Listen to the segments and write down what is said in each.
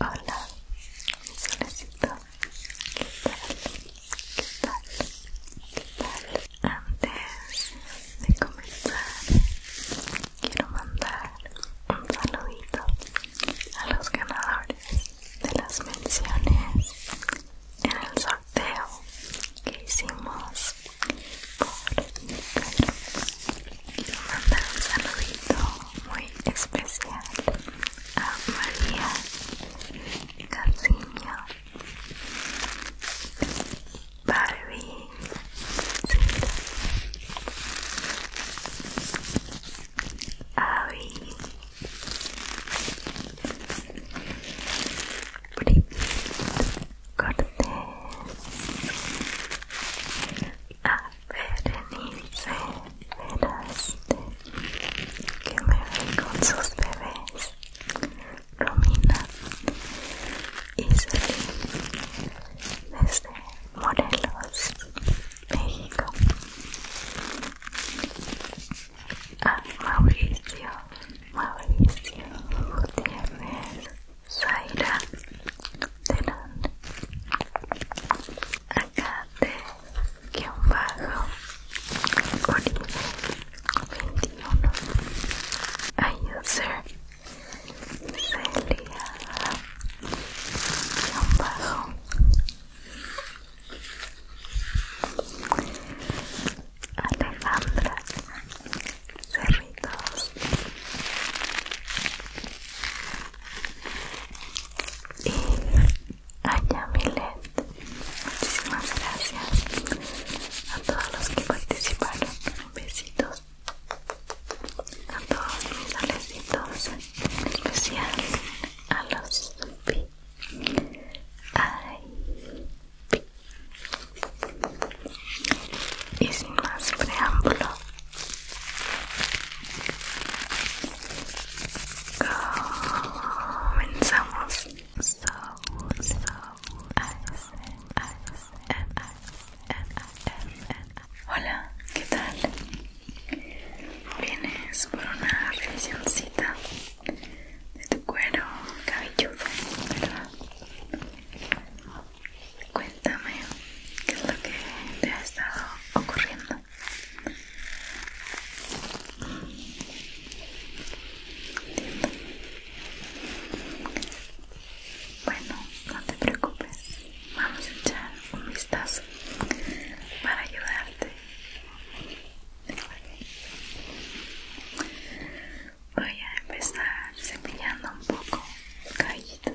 Hola, mi solecito. ¿Qué tal? ¿Qué tal? ¿Qué tal? Antes de comenzar, quiero mandar un saludito a los ganadores de las menciones en el sorteo que hicimos por mi Twitter manda un saludito muy especial a María Casiño, Barbie, Avi, Brigitte Cortés, a Berenice Veraste, que me ve con sus bebés, Romina y desde Morelos, México, a Mauricio, Mauricio Gutiérrez, Zaira delante acá de guión bajo origen 21 a user Celia guión bajo Alejandra Cerritos y a Yamilet, Muchísimas gracias a todos los que participaron. Besitos a todos mis alecitos, en especial a los pi. Y sin más preámbulo, Comenzamos. Hola, ¿qué tal? Vienes por una revisioncita de tu cuero cabelludo, cuéntame qué es lo que te ha estado ocurriendo. Bueno, no te preocupes, vamos a echar un vistazo para ayudarte. Voy a empezar cepillando un poco caído.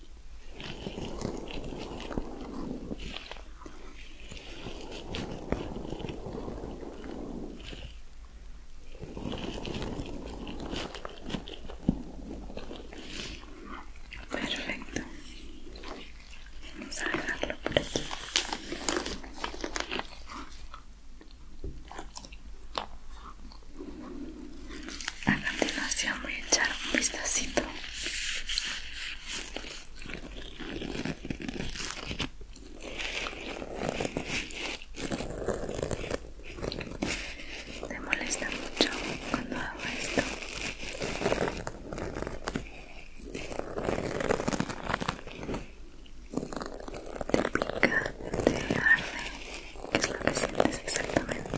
Perfecto. Vamos a dejarlo por aquí. A continuación voy a echar un vistacito te molesta mucho cuando hago esto te pica, te arde qué es lo que sientes exactamente.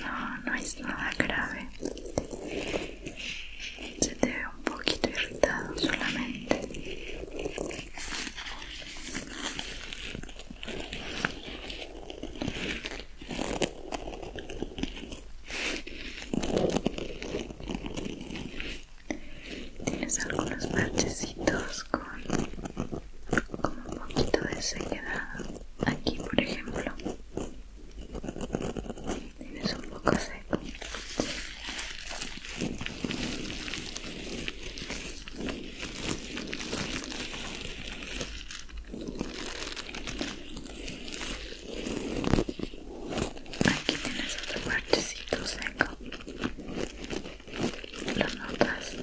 No, no es nada grave. Se te ve un poquito irritado solamente. Tienes algunos parchecitos con, con un poquito de sequedad. Aquí, por ejemplo, tienes un poco seco. Aquí tienes otro parchecito seco. ¿Lo notas?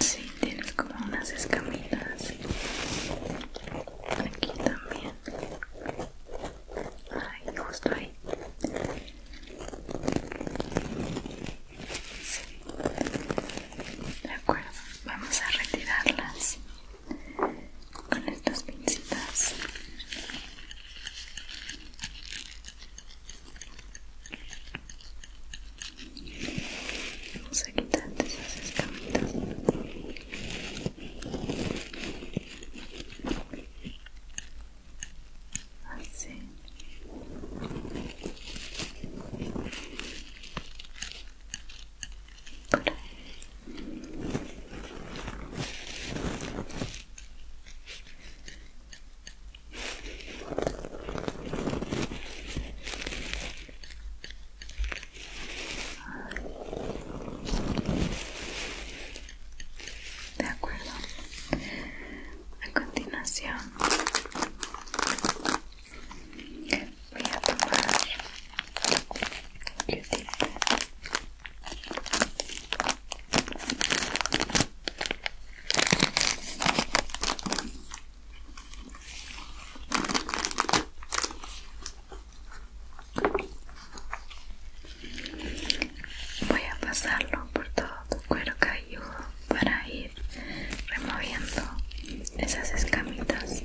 Sí, tienes como unas escamitas. Aquí también. Ay, justo ahí. De acuerdo, vamos a retirarlas con estas pincitas. Vamos a quitarte esas escamitas. Así. De acuerdo. A continuación voy a Voy a pasarlo por todo tu cuero cabelludo para ir removiendo esas escamitas así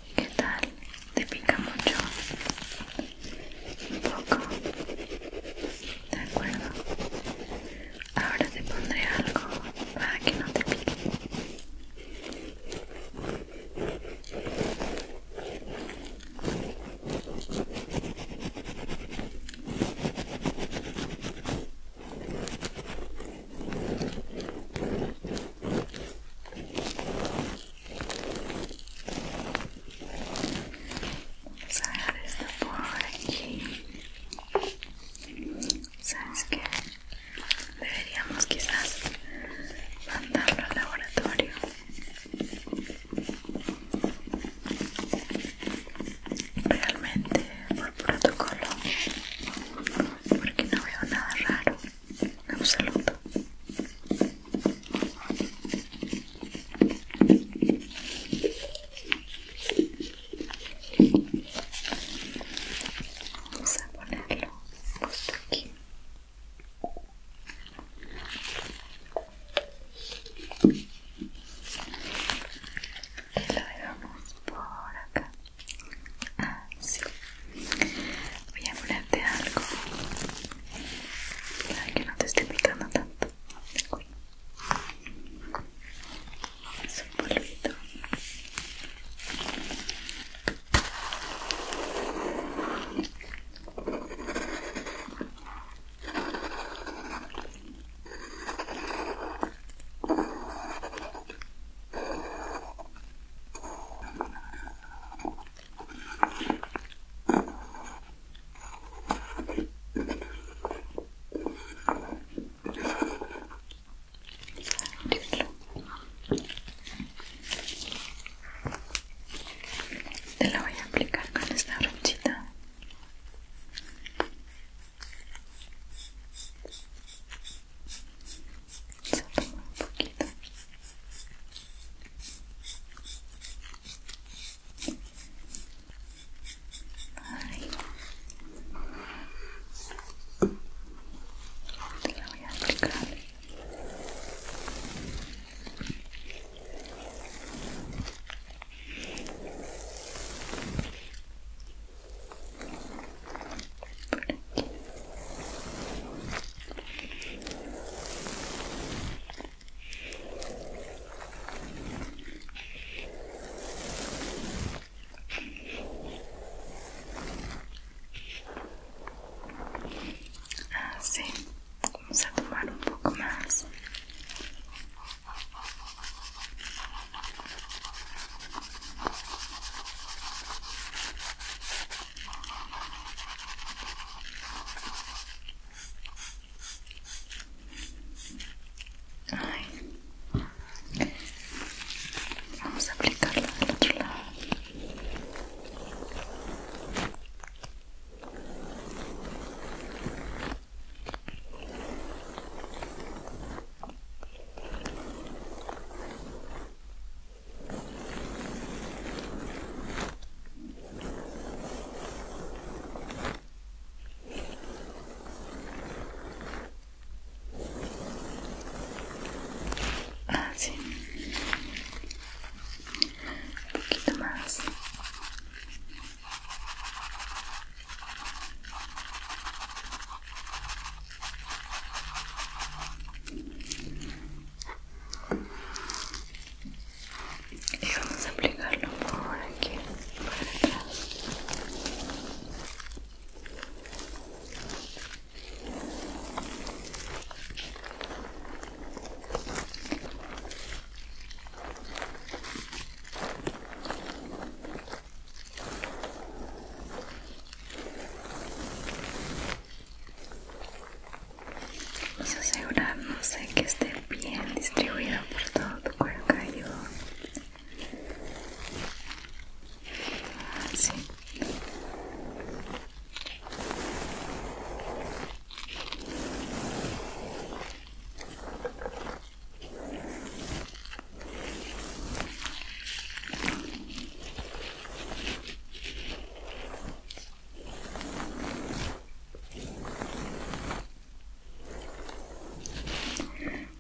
¿Qué tal? ¿Te pica mucho? Un poco. De acuerdo. Ahora te pondré algo para que no te pique. Vamos a dejar esto por aquí. ¿Sabes qué? Deberíamos quizás mandarlo al laboratorio. Realmente por protocolo, porque no veo nada raro un saludo vamos a ponerlo justo aquí y lo dejamos por acá así ah, Voy a ponerte algo para que no te esté picando tanto. Es un polvito. Te la voy a aplicar con esta brochita un poquito Ahí. Te la voy a aplicar. Por aquí. Ah, sim, vamos a tomar um pouco mais. Vamos a aplicarla del otro lado ah sí, un poquito más y vamos a aplicarlo por aquí para atrás Vamos a asegurarnos de que esté bien distribuido por todo tu cuerpo Así. Ah,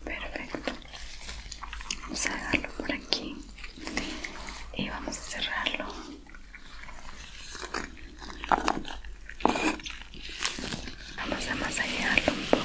Perfecto. Vamos a dejarlo por aquí y vamos a cerrarlo. Vamos a masajearlo un poco.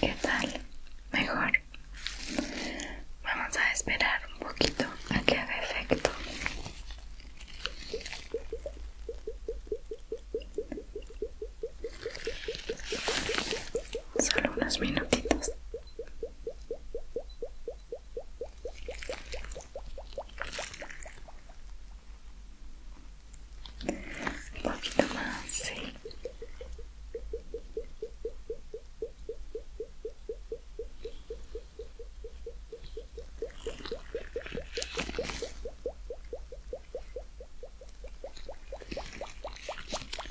¿Qué tal? Mejor. Vamos a esperar un poquito a que haga efecto. Solo unos minutitos un poquito más, sí.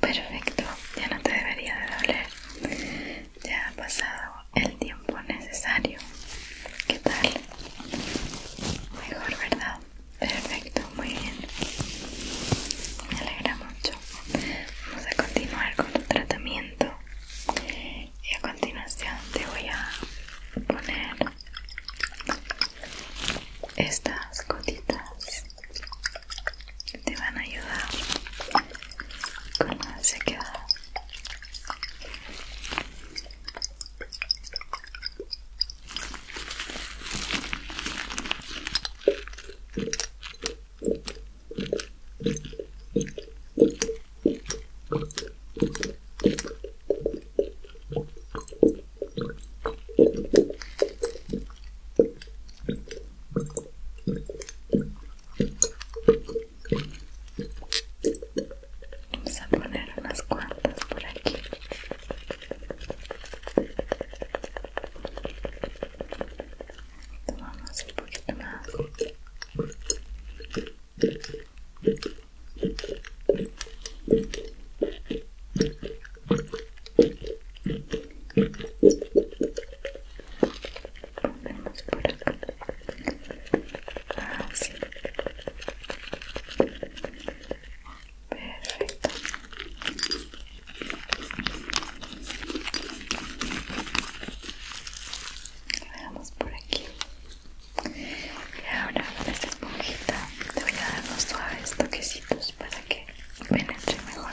Perfecto, ya no te debería de doler. Ya ha pasado el tiempo necesario. ¿Qué tal? Mejor, ¿verdad? perfecto, muy bien. Me alegra mucho. Vamos a continuar con tu tratamiento. Y a continuación te voy a poner estas gotitas que te van a ayudar con la sequedad. Vamos a poner unas cuantas por aquí. Tomamos un poquito más. Volvemos por acá. Así. Perfecto. Veamos por aquí. Y ahora con esta esponjita te voy a dar unos suaves toquecitos para que penetre mejor.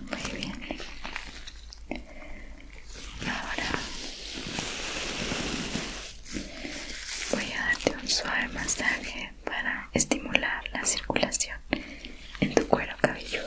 Muy bien. Ahora voy a darte un suave masaje para estimular la circulación en tu cuero cabelludo.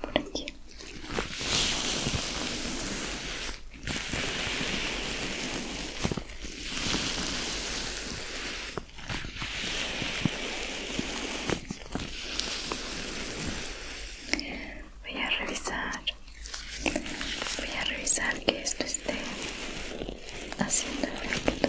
por aquí voy a revisar voy a revisar que esto esté haciendo efecto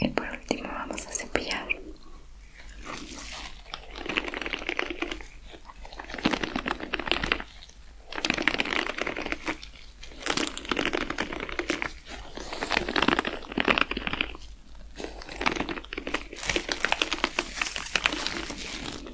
y por último vamos a cepillar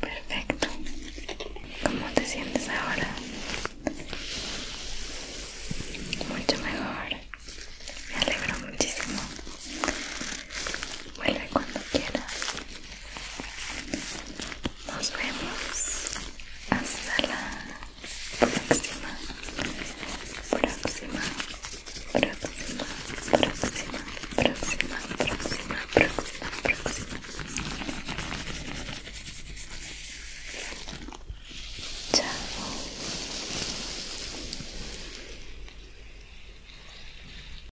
Perfecto. ¿Cómo te sientes ahora? Mucho mejor. Me alegro muchísimo. Vuelve cuando quieras. Nos vemos hasta la próxima, próxima, próxima, próxima, próxima, próxima, próxima, próxima. Chao.